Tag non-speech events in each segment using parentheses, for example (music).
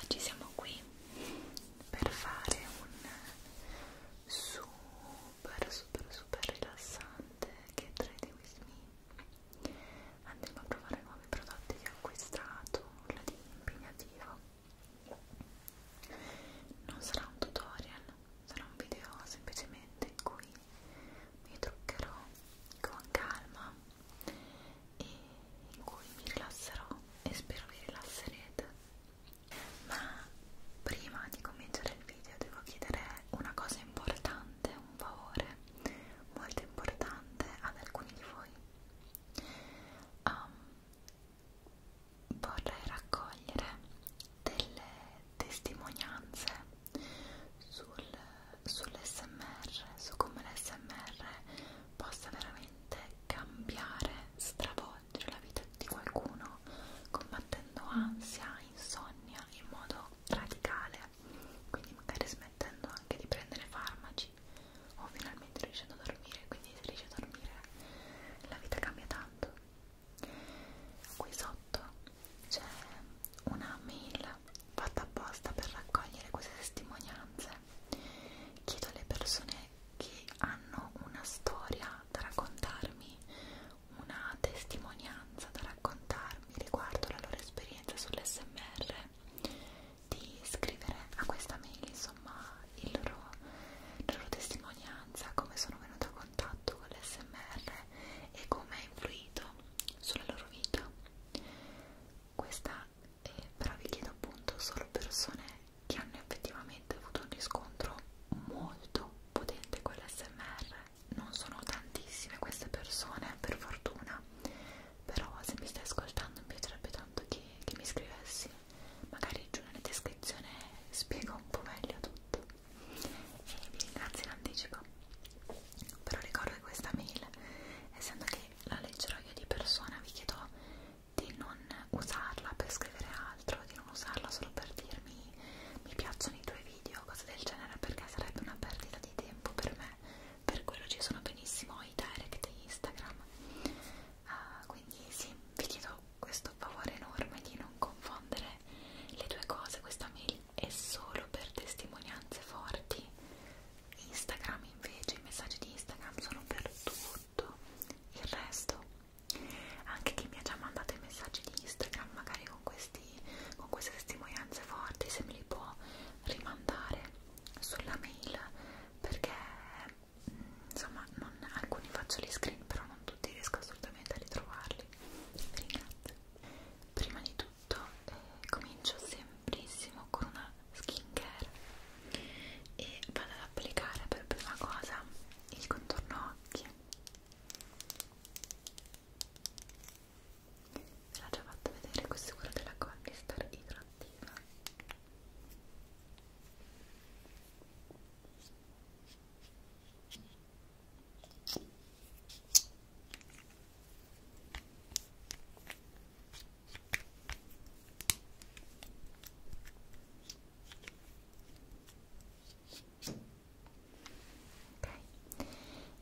Oggi siamo qui per fare un super super super rilassante che trade with me. Andremo a provare nuovi prodotti che ho acquistato, nulla di impegnativo. Non sarà un tutorial, sarà un video semplicemente in cui mi truccherò con calma e in cui mi rilasserò e spero vi rilasserete ma prima di cominciare il video devo chiedere una cosa importante un favore molto importante ad alcuni di voi um, vorrei raccogliere delle testimonianze sul, sull'SMR, su come l'SMR possa veramente cambiare, stravolgere la vita di qualcuno combattendo ansia, insonnia in modo radicale, quindi magari smettendo anche di prendere farmaci o finalmente riuscendo a dormire, quindi se riesci a dormire la vita cambia tanto qui sotto c'è una mail fatta apposta per raccogliere queste testimonianze chiedo alle persone che hanno una storia da raccontarmi una testimonianza da raccontarmi riguardo la loro esperienza sull'SMR di scrivere a questa mail insomma il loro, la loro testimonianza come sono venuta contatto con l'SMR e come ha influito sulla loro vita. Questa eh, però vi chiedo appunto solo persone che hanno effettivamente avuto un riscontro molto potente con l'SMR. Non sono tantissime queste persone, per fortuna, però se mi stai ascoltando mi piacerebbe tanto che, che mi scrivessi. Magari giù nella descrizione spiego un po' meglio tutto e vi ringrazio in anticipo però ricordo che questa mail essendo che la leggerò io di persona vi chiedo di non usarla per scrivere altro di non usarla solo per dirmi mi piacciono i tuoi video cose del genere perché sarebbe una perdita di tempo per me per quello ci sono benissimo i direct Instagram uh, quindi sì, vi chiedo questo favore enorme di non confondere le due cose, questa mail e solo per testimonianze forti. Instagram invece, i messaggi di Instagram sono per tutto il resto. Anche chi mi ha già mandato i messaggi di Instagram, magari con, questi, con queste testimonianze forti, se me li può rimandare sulla mail perché mm, insomma non, alcuni faccio gli screen però non tutti riesco assolutamente a ritrovarli. Vi ringrazio prima di tutto eh, comincio sembrissimo con una skincare e vado ad applicare per prima cosa il contorno occhi ve l'ho già fatto vedere questo è quello della Collistar idrattiva Ok,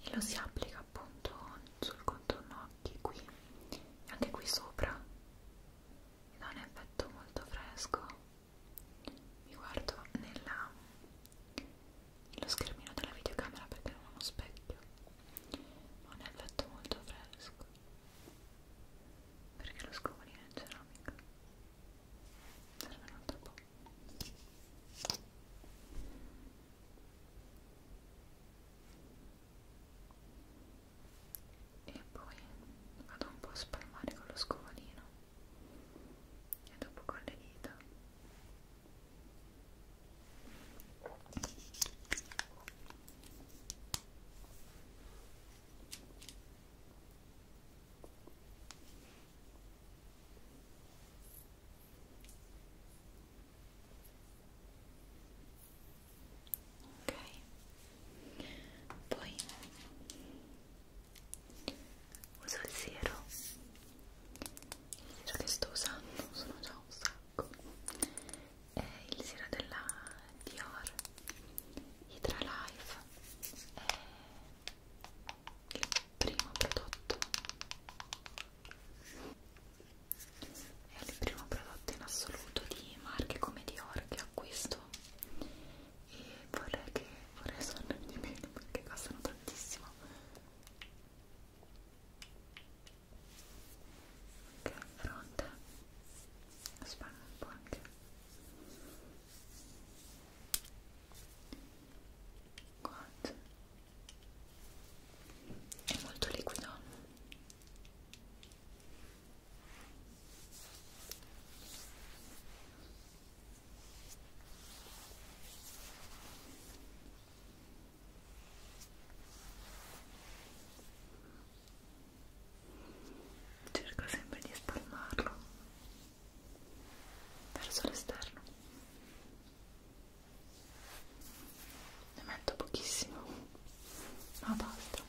e lo si applica appunto sul contorno occhi qui e anche qui sopra, e dà un effetto molto fresco mi guardo nella, nello schermino della videocamera perché non ho uno specchio ha un effetto molto fresco perché lo scovolino è in ceramica serve un altro po' e poi vado un po' a spalmare con lo scovolino e dopo con le dita ok poi uso il siero il siero che sto usando sono già un sacco è il siero della Dior Hydra Life è il primo prodotto è il primo prodotto in assoluto di marche come Dior che acquisto e vorrei che vorrei sorrermi di meno perché costano tantissimo ok pronta spalmo un po' anche Quanto? è molto liquido cerco sempre di spalmarlo verso l'esterno ne metto pochissimo ma basta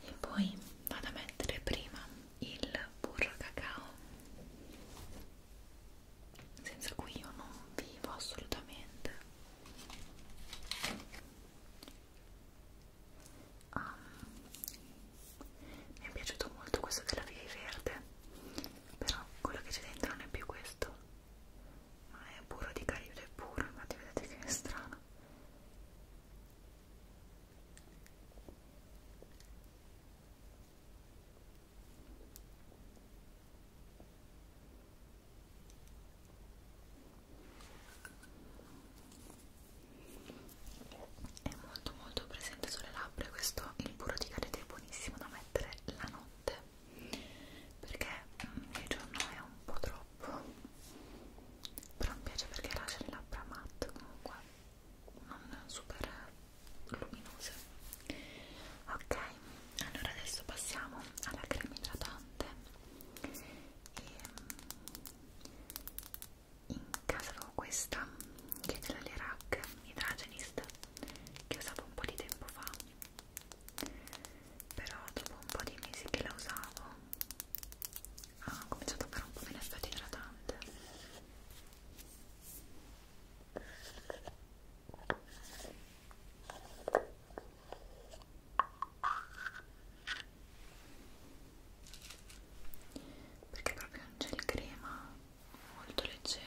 e poi vado a mettere prima il burro cacao senza cui io non vivo assolutamente ah, mi è piaciuto molto questo della vivi verde però quello che c'è dentro non è più questo ma è burro di caribe è puro infatti vedete che è strano è molto molto presente sulle labbra questo il burro di carete è buonissimo da mettere la notte perché mm, il giorno è un po' troppo però mi piace perché lascia le labbra matte comunque non super luminose ok allora adesso passiamo alla crema idratante e ehm, in casa avevo questa che è della Lerac Hydrogenist che usavo un po' di tempo fa però dopo un po' di mesi che la usavo ha cominciato a fare un po' meno effetto idratante perché proprio non c'è il crema molto leggero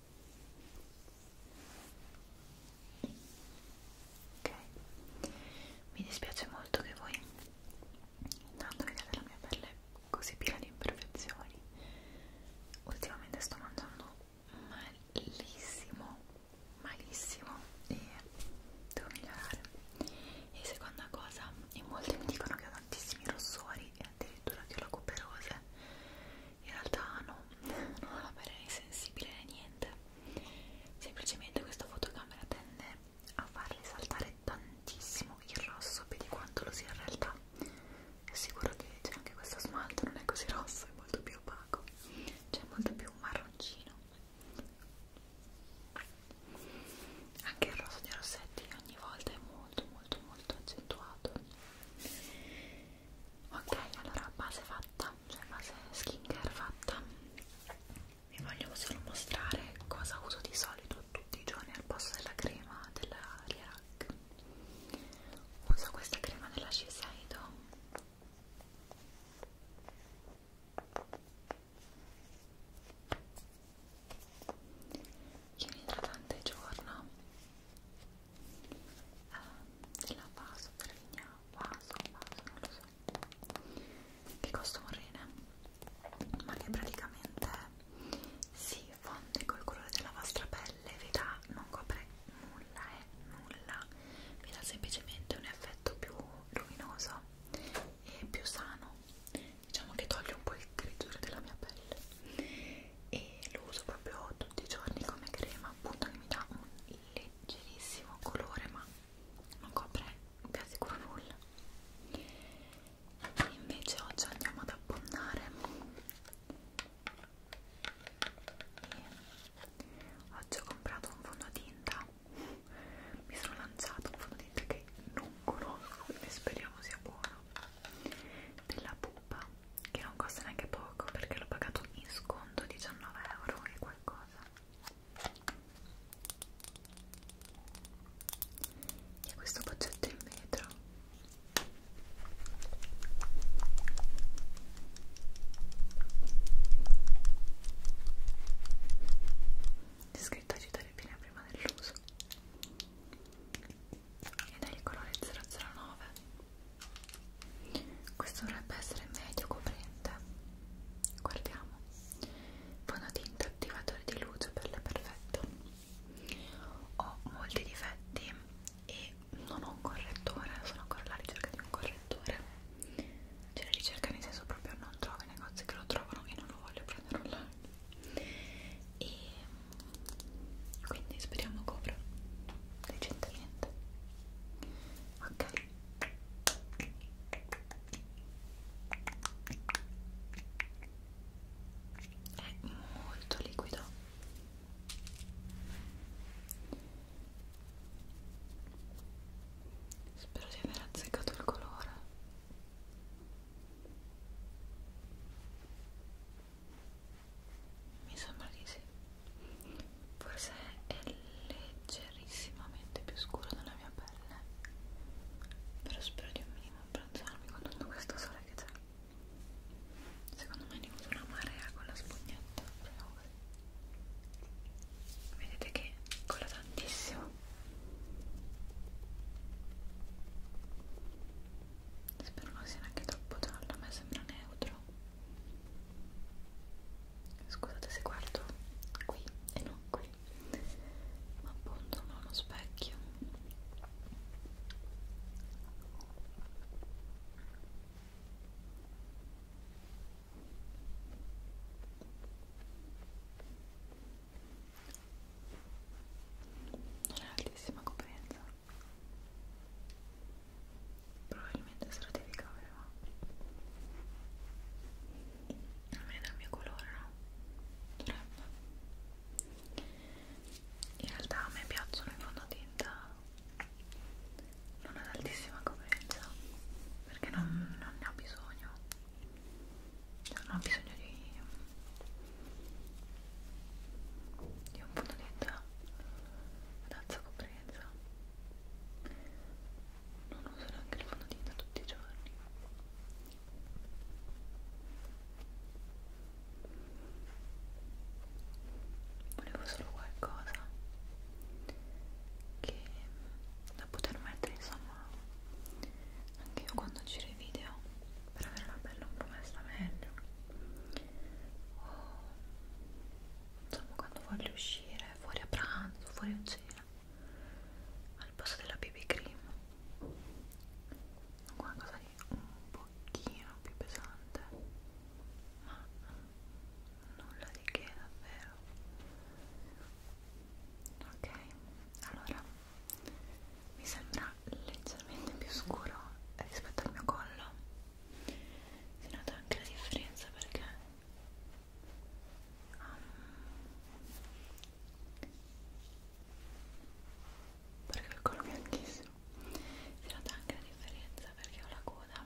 ok mi dispiace molto che voi intanto vediate la mia pelle così piena di imperfezioni ultimamente sto mangiando malissimo malissimo e devo migliorare e seconda cosa in molti mi dicono che ho tantissimi rossori e addirittura che ho la cuperose in realtà no, (laughs) non ho la pelle sensibile né niente semplicemente questa fotocamera tende a farle saltare tantissimo il rosso più di quanto lo sia in realtà è sicuro che c'è anche questo smalto non è così rosso, è molto più opaco c'è molto più marroncino anche il rosso di Rossetti ogni volta è molto molto molto accentuato ok allora base fatta cioè base skincare fatta vi voglio solo mostrare cosa uso di solito tutti i giorni al posto della crema della Lierac uso questa crema della Shiseido che è un idratante giorno eh, la vaso, pervigna, vaso, vaso, non lo so che costa un rene ma che praticamente si fonde col colore della vostra pelle vi dà, non copre nulla e eh, nulla vi dà semplicemente un effetto più luminoso e più sano diciamo che toglie un po' il grigiore della mia pelle e lo uso proprio tutti i giorni come crema appunto che mi dà un leggerissimo colore ma non copre vi assicuro nulla e invece oggi andiamo ad abbondare e oggi ho comprato un fondotinta mi sono lanciato un fondotinta che non conosco e speriamo sia buono della pupa che non costa neanche poco perché l'ho pagato in sconto 19 euro e qualcosa e questo boccetto in vetro c'è scritto agitare bene prima dell'uso ed è il colore 009 questo dovrebbe essere medio coprente guardiamo fondotinta attivatore di luce per le perfette ho molti difetti e non ho un correttore sono ancora alla ricerca di un correttore c'è la ricerca nel senso proprio non trovo i negozi che lo trovano e non lo voglio prendere online e quindi speriamo copra decentemente ok è molto liquido spero di aver azzeccato il colore mi sembra di sì forse è leggerissimamente più scuro della mia pelle però spero di un minimo abbronzarmi con tutto questo sole che c'è secondo me ne uso una marea con la spugnetta vedete che cola tantissimo spero non sia neanche troppo giallo, a me sembra neutro scusate se guardo qui e non qui ma appunto non ho uno specchio non è altissima coerenza probabilmente se lo devi cavare ma almeno il mio colore no? dovrebbe in realtà a me piacciono i fondotinta non ad altissima coprenza perché non, non ne ho bisogno cioè, non ho bisogno di e un punto di età ad alza coprenza non uso neanche il fondotinta tutti i giorni volevo solo qualcosa che da poter mettere insomma anche io quando giro i video per avere la pelle un po' messa meglio o insomma quando voglio uscire fuori a pranzo, fuori a cena al posto della BB cream qualcosa di un pochino più pesante ma nulla di che davvero ok allora mi sembra leggermente più scuro rispetto al mio collo si nota anche la differenza perché um, perché ho il collo bianchissimo si nota anche la differenza perché ho la coda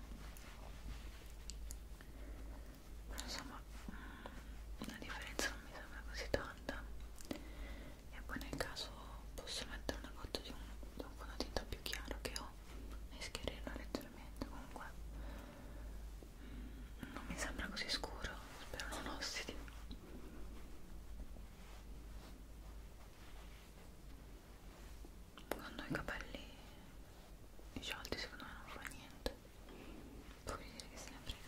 però insomma mm, la differenza non mi sembra così tanta e poi nel caso posso mettere una cotta di un, di un fondotinta più chiaro che ho e schiarirlo leggermente comunque mm, non mi sembra così scuro spero non ossidi quando ho i capelli sciolti secondo me non fa niente voglio dire che se ne frega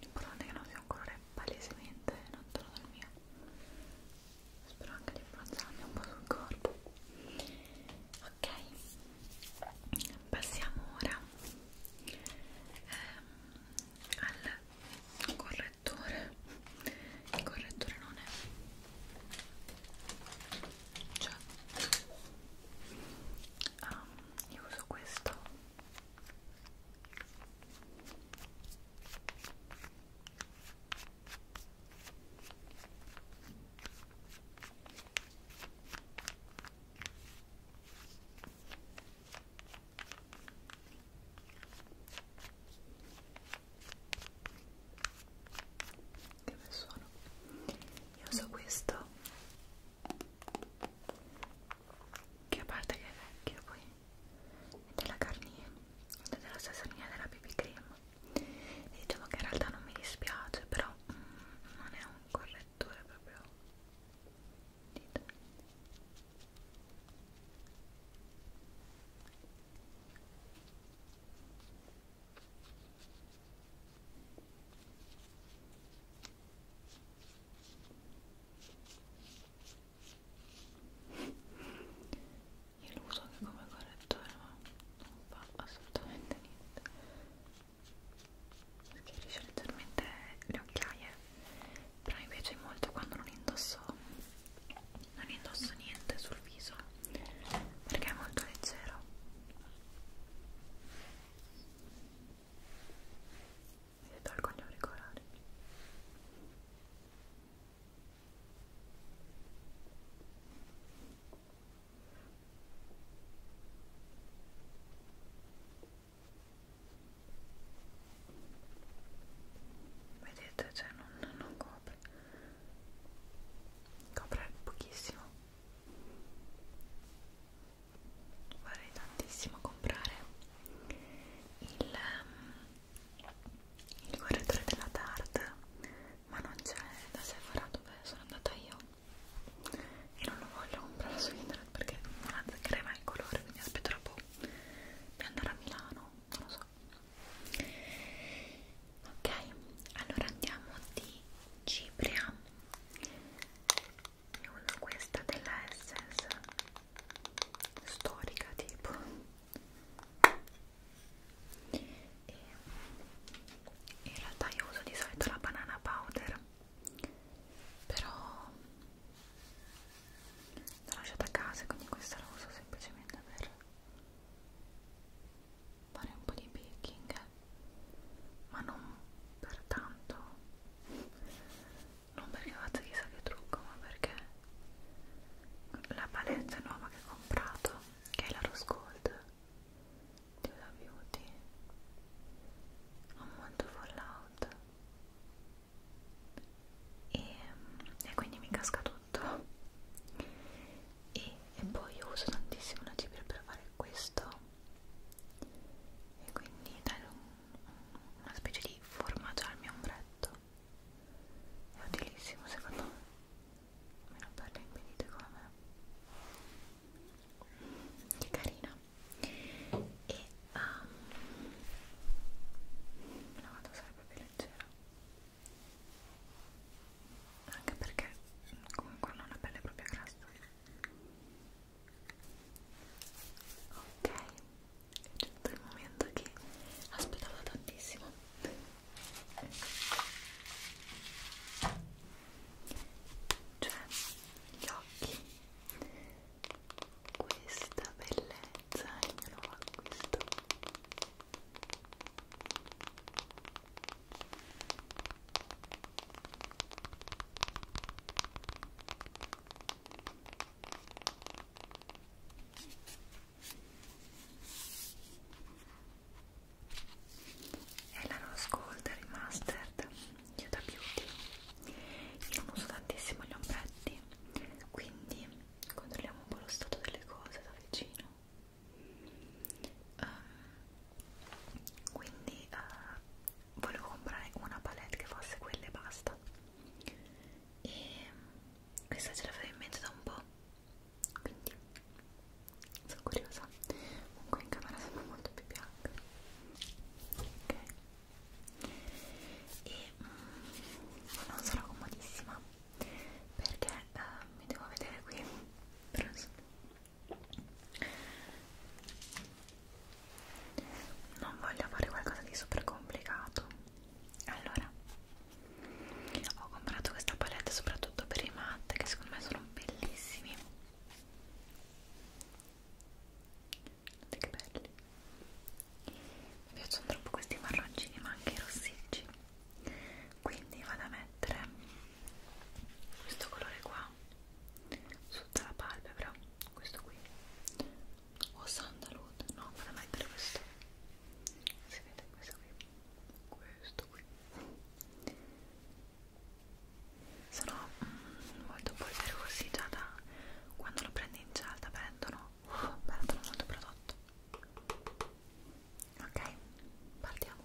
l'importante è che non sia un colore palesemente lontano dal mio spero anche di abbronzarmi un po' sul corpo ok passiamo ora ehm, al correttore il correttore non è cioè um, io uso questo che bel suono io uso questo che a parte che è vecchio poi della Garnier della Cesarina della BB Cream e diciamo che in realtà non mi dispiace però mm, non è un correttore proprio dito ok io lo uso anche come correttore eh, ma non fa assolutamente niente perché riesce leggermente le occhiaie però mi piace molto quando non indosso non indosso niente sul viso perché è molto leggero e tolgo gli auricolari vedete cioè non, non copre copre pochissimo vorrei tantissimo comprare il, ehm, il correttore della Tarte ma non c'è da Sephora dove sono andata io e non lo voglio comprare su internet perché non azzeccherei mai il colore quindi aspetterò un po' di andare a Milano non lo so ok allora andiamo di Cipria io uso questa della Essence storica tipo e in realtà io uso di solito la banana powder però l'ho lasciata a casa quindi questa la uso semplicemente per fare un po' di baking ma non per tanto non perché faccia chissà che trucco ma perché la palette nuova che ho comprato che è la Rose Gold di Huda Beauty ha molto fallout e, mm, e quindi mi casca tutto e, e poi io uso tantissimo la cipria per fare questo e quindi dare un una specie di formaggio al mio ombretto è utilissimo secondo me almeno per le impedite come me che carina e um, la vado a usare proprio leggera anche perché comunque non ho una pelle proprio grassa Ok, è giunto il momento che aspettavo tantissimo. Cioè, gli occhi, questa bellezza è il mio nuovo acquisto è la Rose Gold Remastered Huda Beauty io non uso tantissimo gli ombretti quindi controlliamo un po' lo stato delle cose da vicino um, quindi uh, volevo comprare una palette che fosse quella e basta e mm, questa ce l'avevo in mente da un po' quindi sono curiosa comunque in camera sembra molto più bianca ok e mm, non sono comodissima perché eh, mi devo vedere qui però non voglio fare qualcosa di super complicato allora ho comprato questa palette soprattutto per i matte che secondo me sono bellissimi guardate che belli mi piacciono troppo questi marroncini ma anche i rossicci quindi vado a mettere questo colore qua sotto la palpebra questo qui o sandalwood no vado a mettere questo si vede questo qui questo qui sono mm, molto polverosi già da quando lo prendi in cialda perdono uh, perdono molto prodotto ok partiamo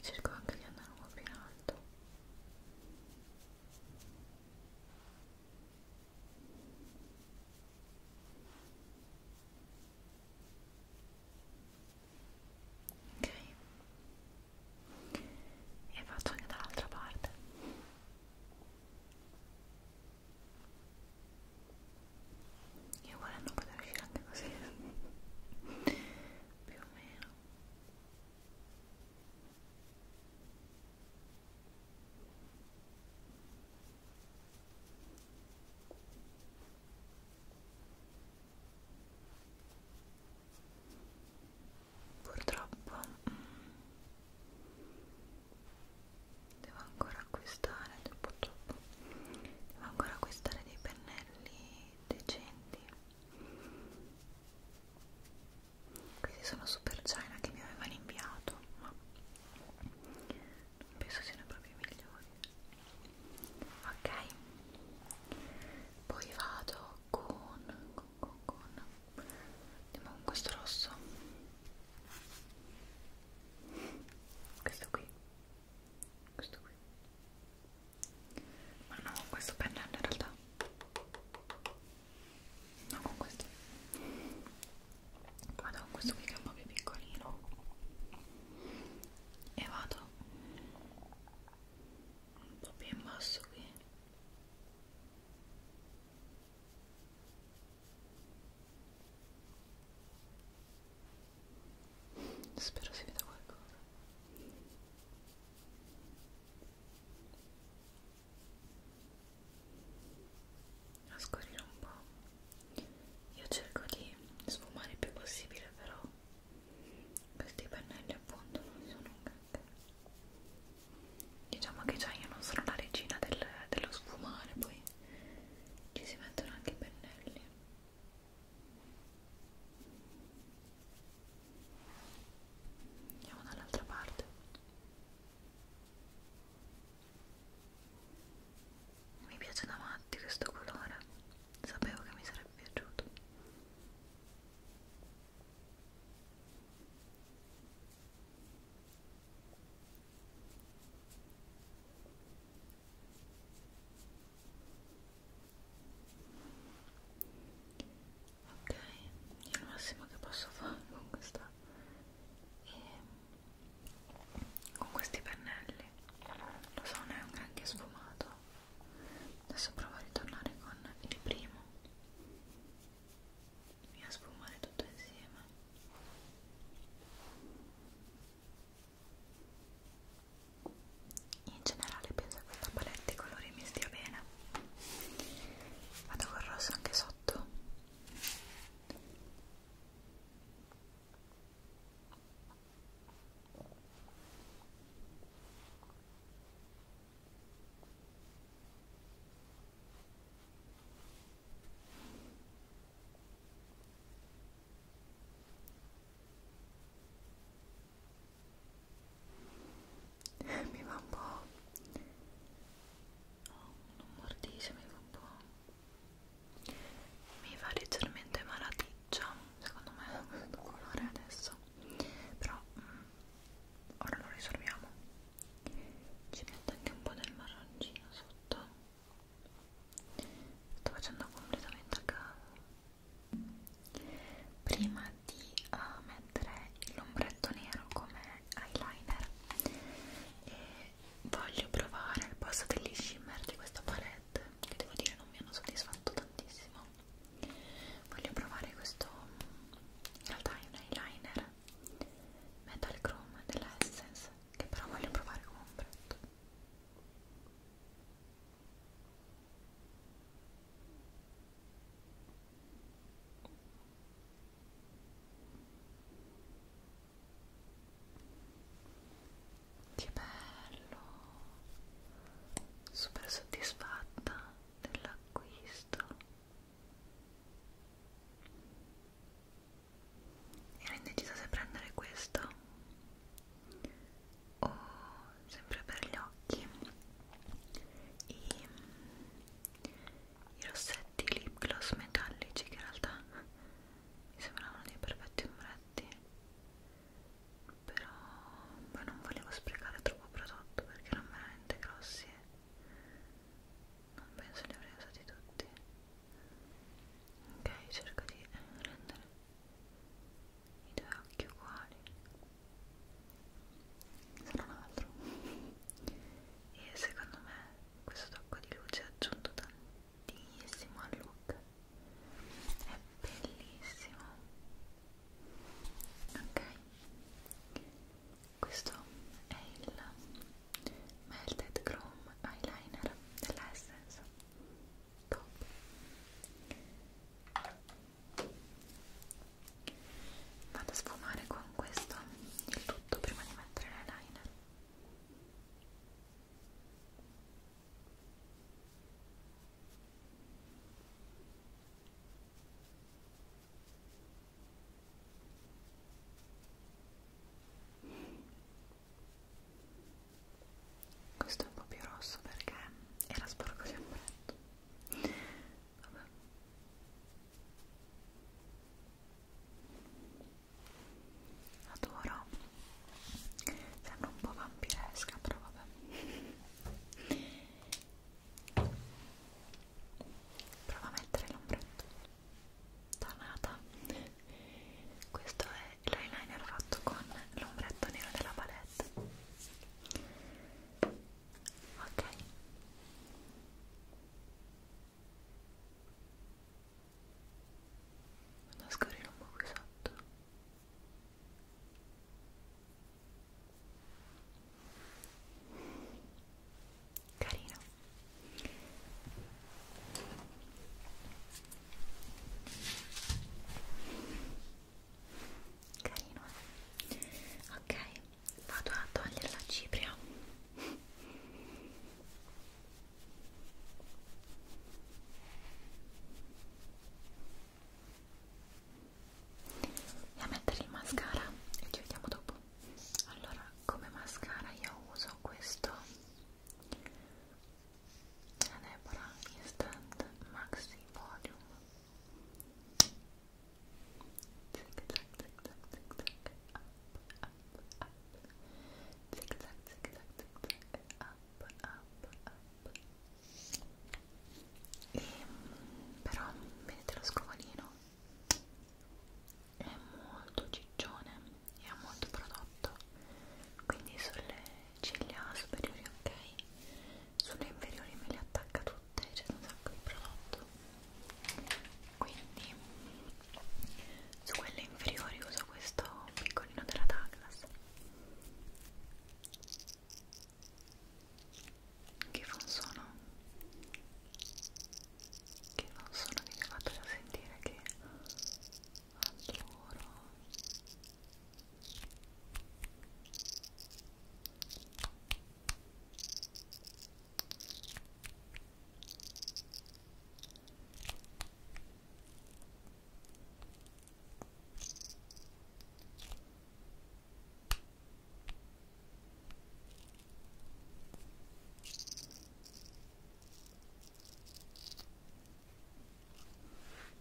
cerco anche di andare un po' più in alto ok e faccio anche dall'altra parte io volendo poter uscire anche così (laughs) più o meno Purtroppo mh, mm, devo ancora acquistare purtroppo devo ancora acquistare dei pennelli decenti questi sono super china che mi avevano inviato ma non penso siano proprio i migliori ok poi vado con con con, con. andiamo con questo rosso questo qui questo qui ma non con questo pennello in realtà no con questo vado con questo qui che è un po' più piccolino e vado un po' più in basso qui Spero si veda qualcosa. A scorrire un po'. Io cerco di sfumare il più possibile, però questi pennelli appunto non sono un granché. Diciamo che già io non sono la regina del, dello sfumare, poi ci si mettono anche i pennelli andiamo dall'altra parte mi piace davanti questo colore sapevo che mi sarebbe piaciuto ok è il massimo che posso fare con questa e ehm, con questi pennelli lo so non è un granché sfumato adesso provo a ritornare con il primo e a sfumare tutto insieme in generale penso che questa palette di colori mi stia bene vado col rosso anche sotto mi va un po' oh, non mordisce mi va un po' mi fa leggermente malaticcia secondo me questo colore adesso però mm, ora lo risolviamo ci metto anche un po' del marroncino sotto sto facendo completamente a caso prima di uh, mettere l'ombretto nero come eyeliner e voglio provare il passo degli shimmer di questa palette che devo dire non mi hanno soddisfatto tantissimo voglio provare questo in realtà è un eyeliner metal chrome della Essence che però voglio provare come ombretto che bello super soddisfatta dell'acquisto Ero indecisa se prendere questo o sempre per gli occhi i, i rossetti lip gloss metallici che in realtà mi sembravano dei perfetti ombretti però poi non volevo sprecare troppo prodotto perché erano veramente grossi e non penso li avrei usati tutti ok cerco di rendere i due occhi uguali se non altro e secondo me questo tocco di luce ha aggiunto tantissimo al look è bellissimo ok questo è il Melted Chrome Eyeliner della Essence top vado a sfumare con questo il tutto prima di mettere l'eyeliner questo è un po' più rosso perché era sporco di ombretto vabbè adoro sembra un po' vampiresca però vabbè prova a mettere l'ombretto tonata questo è l'eyeliner fatto con l'ombretto nero della palette ok vado a scorrere un po' qui sotto carino carino eh? ok vado a togliere la cipria e a mettere il mascara e ci vediamo dopo allora come mascara io uso questo della Deborah Instant Maxi Volume Zig zag zig zag zig zag up up up Zig zag zig zag zig zag up up up e, ehm, però vedete lo scovolino è molto ciccione e ha molto prodotto quindi sulle ciglia superiori ok sulle inferiori me le attacca tutte c'è un sacco di prodotto quindi su quelle inferiori uso questo piccolino della Douglas che fa un suono che non sono abituata a sentire che adoro Ecco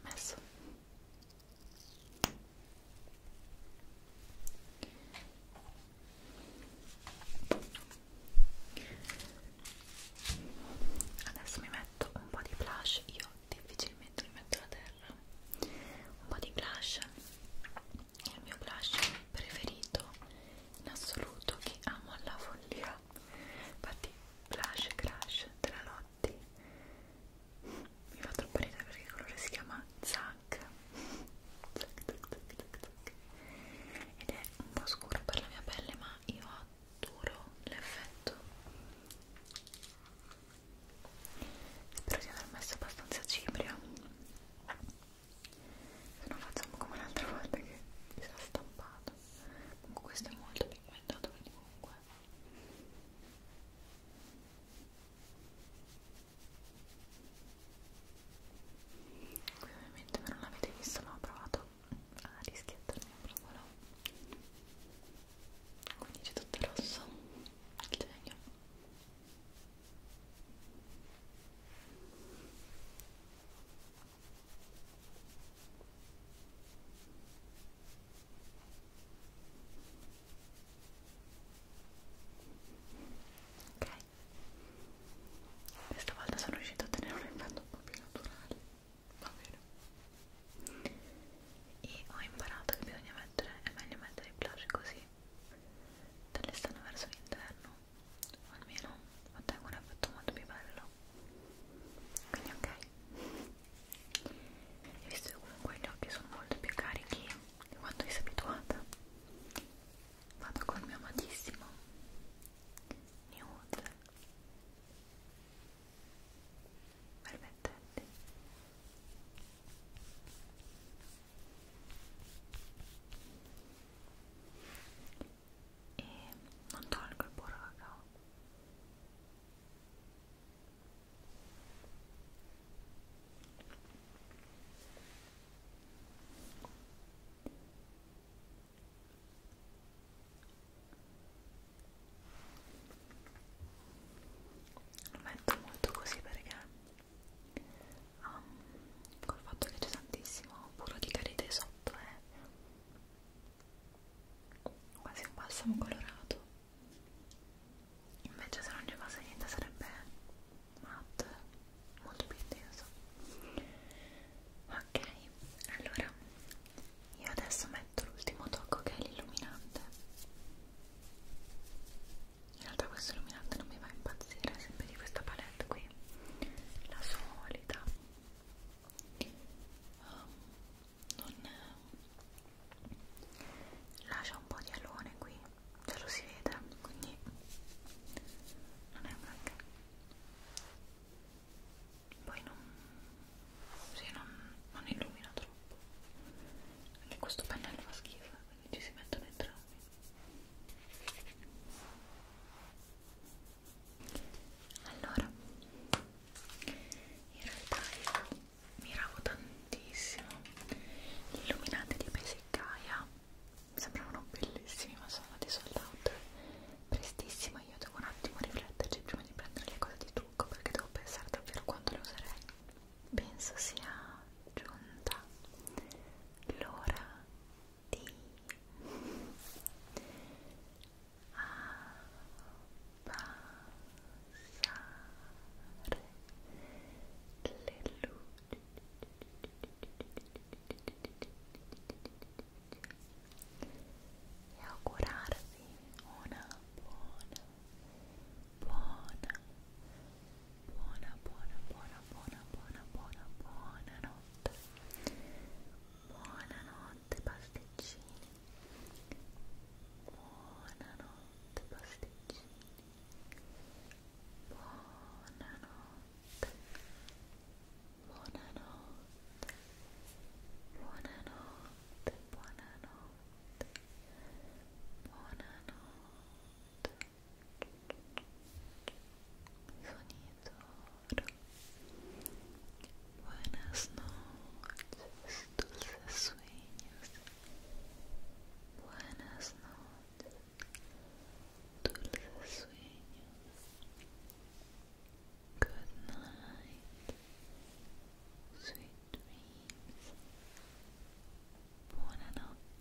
messo adesso mi metto un po' di blush io difficilmente mi metto la terra un po' di blush il mio blush preferito in assoluto che amo alla follia infatti blush crash della Lotti mi fa troppo ridere perché il colore si chiama Zack ed è un po' scuro per la mia pelle ma io adoro l'effetto spero di aver messo abbastanza cipria se no facciamo come l'altra volta che mi sono stampato comunque questo è molto pigmentato quindi comunque qui ovviamente voi non l'avete visto ma ho provato a rischiattarmi un provolo quindi c'è tutto rosso il genio Ok, questa volta sono riuscito a tenere un effetto un po' più naturale, va bene. E ho imparato che bisogna mettere, è meglio mettere i blush così, dall'esterno verso l'interno, almeno ottengo un effetto molto più bello quindi ok e visto che comunque gli occhi sono molto più carichi di quanto vi sei abituata vado col mio amatissimo nude permettete e non tolgo il burro cacao lo metto molto così perché um, col fatto che c'è tantissimo burro di karité sotto è eh. quasi un balsamo colorato invece se non ci fosse niente sarebbe matte molto più intenso ok allora io adesso metto l'ultimo tocco che è l'illuminante in realtà questo illuminante non mi va a impazzire, è sempre di questa palette qui, la solita um, non ehm, lascia un po' di alone qui, ce lo si vede, quindi non è un granché poi non, sì, non, non illumina troppo anche questo pennello fa schifo quindi ci si mettono entrambi allora in realtà io miravo tantissimo gli illuminanti di Pesiccaia mi sembravano bellissimi ma sono andati sold out prestissimo io devo un attimo rifletterci prima di prendere le cose di trucco perché devo pensare davvero quanto le userei penso sia giunta l'ora di abbassare le luci e augurarvi una buona buona buona, buona, buona, buona, buona, buona, buona notte. Buonanotte pasticcini. Buonanotte pasticcini. Buonanotte. Buonanotte. Buonanotte, buonanotte. Buonanotte. sonidor buenas noches dulces sueños buenas noches dulces sueños good night sweet dreams buonanotte